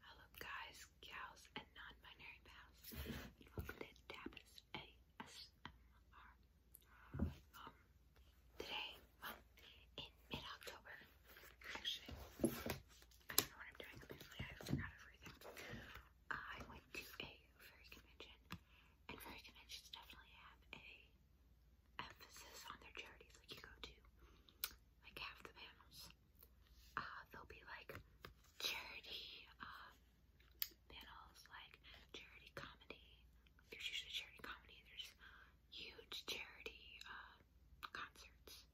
Hello guys, gals, and non-binary pals, welcome to Tapas ASMR. Um, today, in mid-October, actually, I don't know what I'm doing, I forgot everything. I went to a furry convention, and furry conventions definitely have a emphasis on their charities, like you go to like half the panels uh, there'll be like charity um, panels, like charity comedy. There's usually charity comedy. There's huge charity uh, concerts.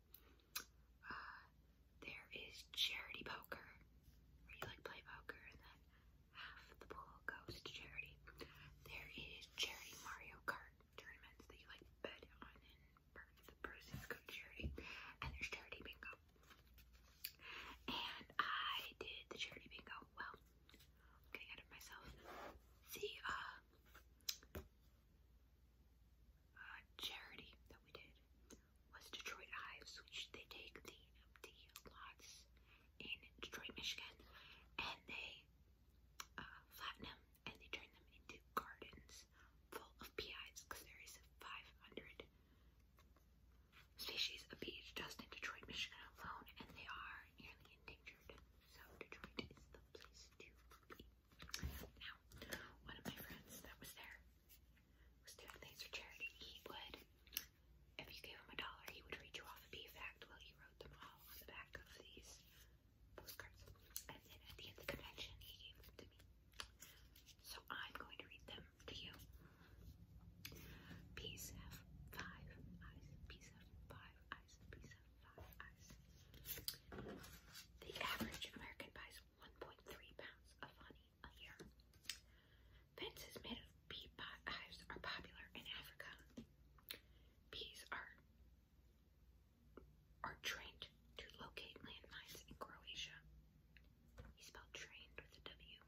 Uh, there is charity poker, where you like play poker and then half the pool goes to charity. There is charity Mario Kart tournaments that you like bet on and the proceeds go to charity. And there's charity bingo. And I did the charity bingo. Well, I'm getting ahead of myself. See, uh, uh, charity that we did was Detroit Hives, which they take the empty lots in Detroit, Michigan, and they uh, flatten them and they turned them into gardens full of PIs because there is 500 species of bees just in Detroit, Michigan alone, and they are nearly endangered. So Detroit is the place to be. Now, one of my friends that was there was doing things for charity. He would, if you gave him a dollar, he would read you off a bee fact while he wrote them all on the back of these postcards. And then at the end of the convention, he gave them to me. So I'm going to read them to you. Peace have five eyes. Peace have five eyes. Peace have five eyes. The average American buys 1.3 pounds of honey a year. Fences made of bee hives are popular in Africa. Bees are are trained to locate landmines in Croatia. He spelled trained with a W.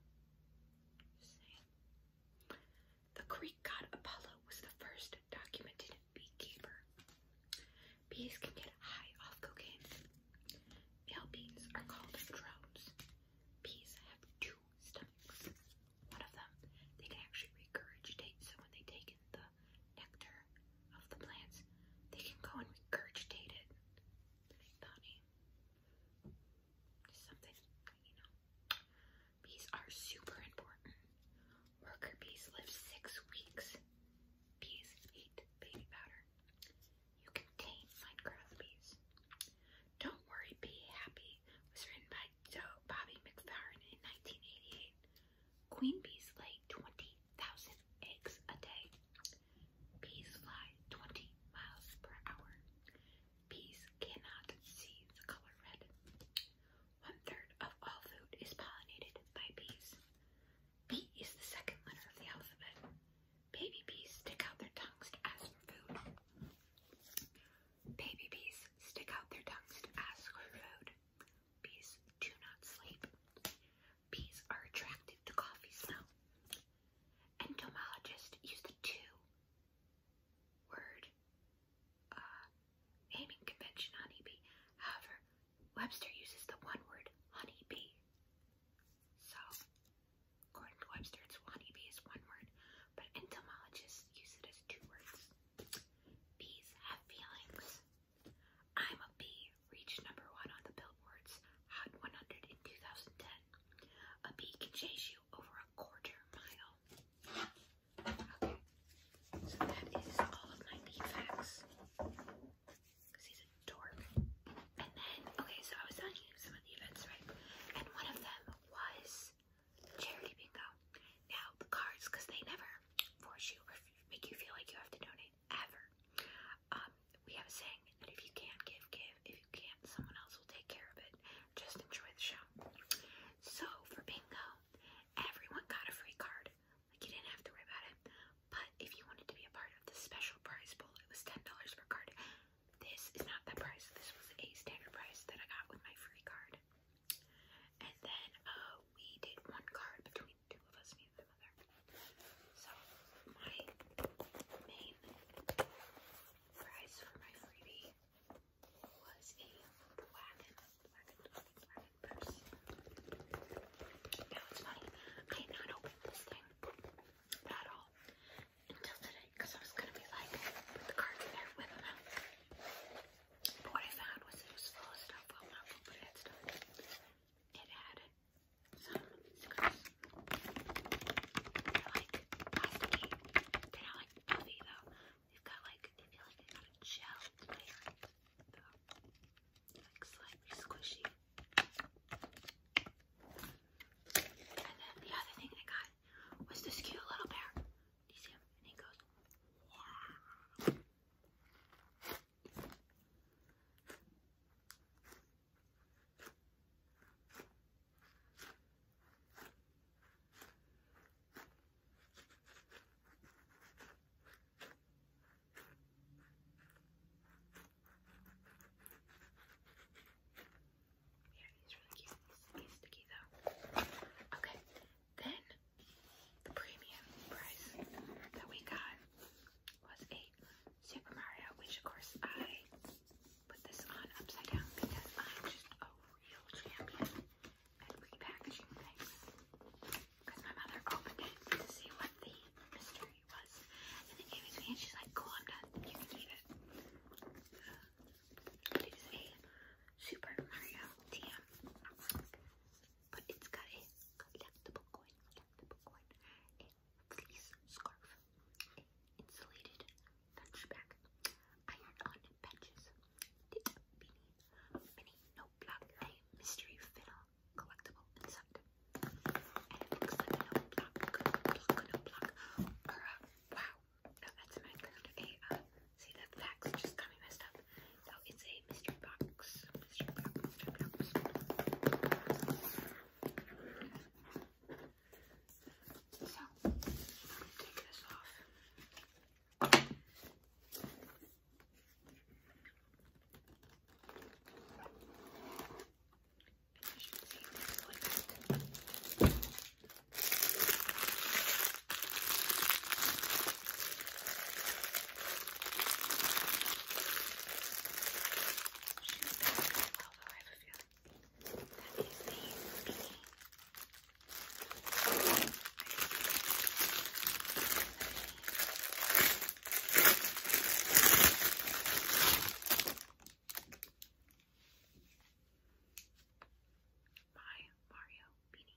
The Greek god Apollo was the first documented beekeeper. Bees can get high off cocaine. Male bees are called drones. Bees have two stomachs. One of them, they can actually regurgitate, so when they take in the nectar of the plants, they can go and regurgitate it. Funny. Something, you know. Bees are super important. Worker bees live six weeks. Bees eat baby powder. You can tame Minecraft bees. Don't worry, Be Happy was written by Bobby McFerrin in 1988. Queen bees lay 20 thousand eggs a day. Bees fly twenty miles per hour. Bees cannot see the color red. One third of all food is pollinated by bees. B is the second letter of the alphabet. Baby bees stick out their tongues to ask for food. Baby bees stick out their tongues to ask for food. Bees do not sleep. Bees are attractive to coffee smell. Entomologists use the two word uh, naming convention honeybee. However, Webster uses the one word honeybee. So, according to Webster, it's honeybee is one word, but entomologists use it as two words. Bees have feelings. I'm a Bee reached number one on the Billboard's Hot 100 in 2010. A bee can chase you over a quarter mile. Okay, so that is all of my bee facts. Because he's a dork. And then, okay, so I was telling you some of the events, right? And one of them was Charity Bingo. Now, the cards, because they never force you or make you feel like you have to donate ever. Um, we have a saying that if you can't give, give. If you can't, someone else will take care of it. Just enjoy the show. So, for bingo, everyone got a free card. Like, you didn't have to worry about it. But if you wanted to be a part of the special prize bowl, it was $10 per card. This is not that price. This was a standard price that I got with my free card. And then uh, we did one card between two of us, me and my mother. So my main prize for my freebie was a wagon, Now it's funny, I had not opened this thing at all until today because I was gonna be like, put in there, whip them what I found was it was full of stuff, well not full, but it had stuff. It had some like plasticky. They're not like heavy though. They've got like, I feel like they've got a gel layer though. Like squishy. And then the other thing I got was this cute little bear. Do him? And he goes, yeah, he's really cute. He's sticky though. Okay, then the premium price that we got was a Super Mario, which of course I put this on upside down because I'm just a real champion at repackaging things. Because my mother opened it to see what the mystery was. And then gave it to me and she's like, cool, I'm done. You can eat it. Uh, it is a Super Mario TM but it's got a collectible coin, collectible coin, a fleece scarf, a insulated lunchbag, iron on patches, beanie, mini notebook, a mystery fiddle collectible inside. And it looks like a notebook, block, notebook, or a, wow, no, that's not good. A, uh, see the facts just got me messed up. So it's a mystery box. Mystery box, mystery box. So, take this off. you She's going to go well, though, I have a feeling. That is the skinny. My Mario beanie.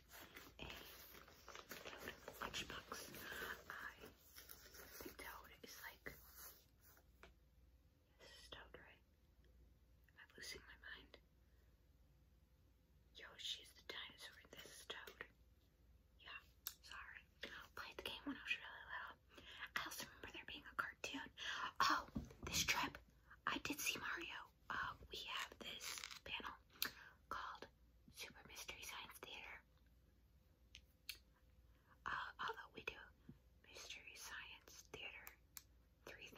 a I toad is like toad, right? I'm losing my mind. Yoshi's the dinosaur. This is toad. Yeah, sorry. Played the game when I was really little. I also remember there being a cartoon. Oh, this trip, I did see Mario. Uh, we have this panel called Super Mystery Science Theater. Uh, although we do Mystery Science Theater 3000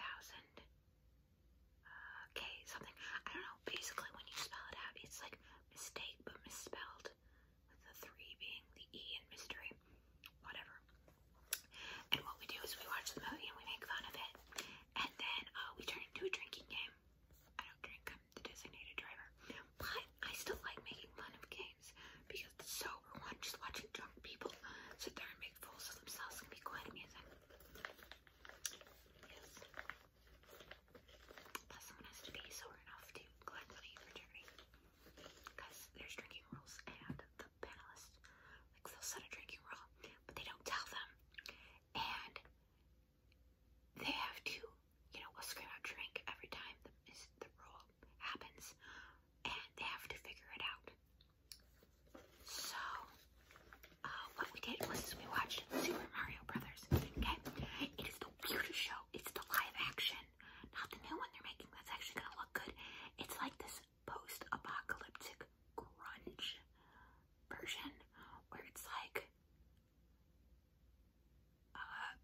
uh, something. I don't know. Basically, when you spell it out, it's like mistake but misspelled the three being the E in mystery. Whatever. And what we do is we watch the movie and we make fun of it. And then uh, we turn into a drinking game. I don't drink. I'm the designated driver. But I still like making fun of games because the sober one, just watching drunk people sit there and make fools of themselves, can be quite amusing. Yes. Plus, someone has to be sober enough to collect money for charity because there's drinking rules, and the panelists like they'll set a drinking rule, but they don't tell them, and they have to, you know, scream out drink every time the, the rule happens, and they have to figure it out. So, uh, what we did was we watched Super Mario Brothers. Okay, it is the weirdest show. It's the live action, not the new one they're making. That's actually gonna look good. It's like this post-apocalyptic grunge version where it's like uh,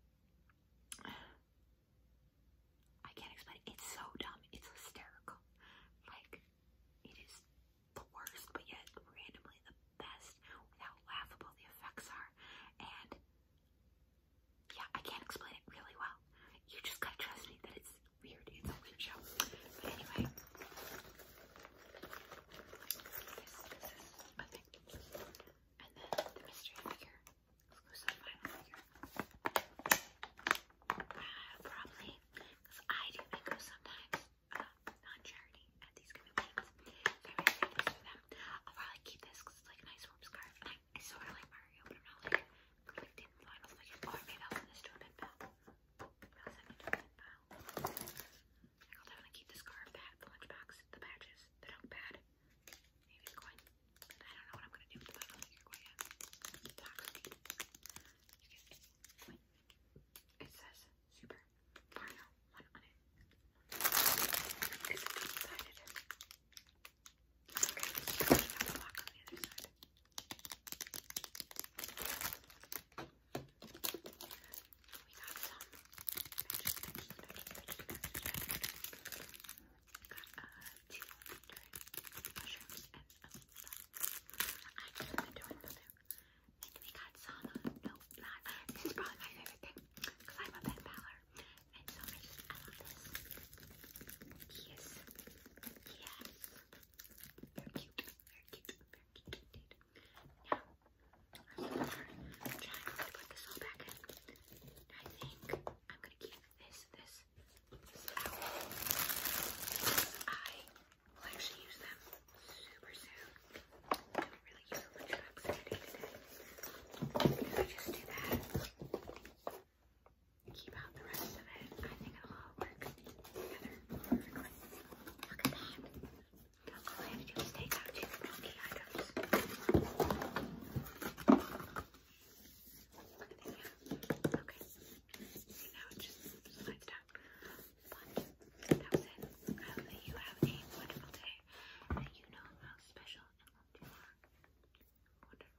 I can't explain It's so dumb. It's hysterical. Like it is the worst, but yet randomly the best with how laughable the effects are. And yeah, I can't explain it really well. You just gotta trust me that it's weird. It's a weird show. But anyway, I think. And probably, because I do go sometimes uh, charity at these kind of things. I will probably keep this because it's like a nice warm scarf. I, I sort like Mario, but I'm not like, I'm like, did maybe I'll send this to a pen about 70 I'll definitely keep this scarf, the hat, the lunchbox, the patches. they Maybe the coin. I don't know what I'm gonna do with the bottom It says Super Okay, let's try to lock on the other side. We got some matches, just want to do we got some no not. This is probably my favorite thing because I'm a pet paler. And so I love this. Yes. Yes. They're cute. Very cute. Very cute indeed. Now, to put this all back I think I'm going to keep this, this, I will actually use them super soon. I do really use today. If I just do that, keep out the rest of it, I think it'll all work together perfectly. Look at that. I do is Okay. now it just slides down. that was it. I hope that you have a wonderful day and you know how special and loved you are. Wonderful.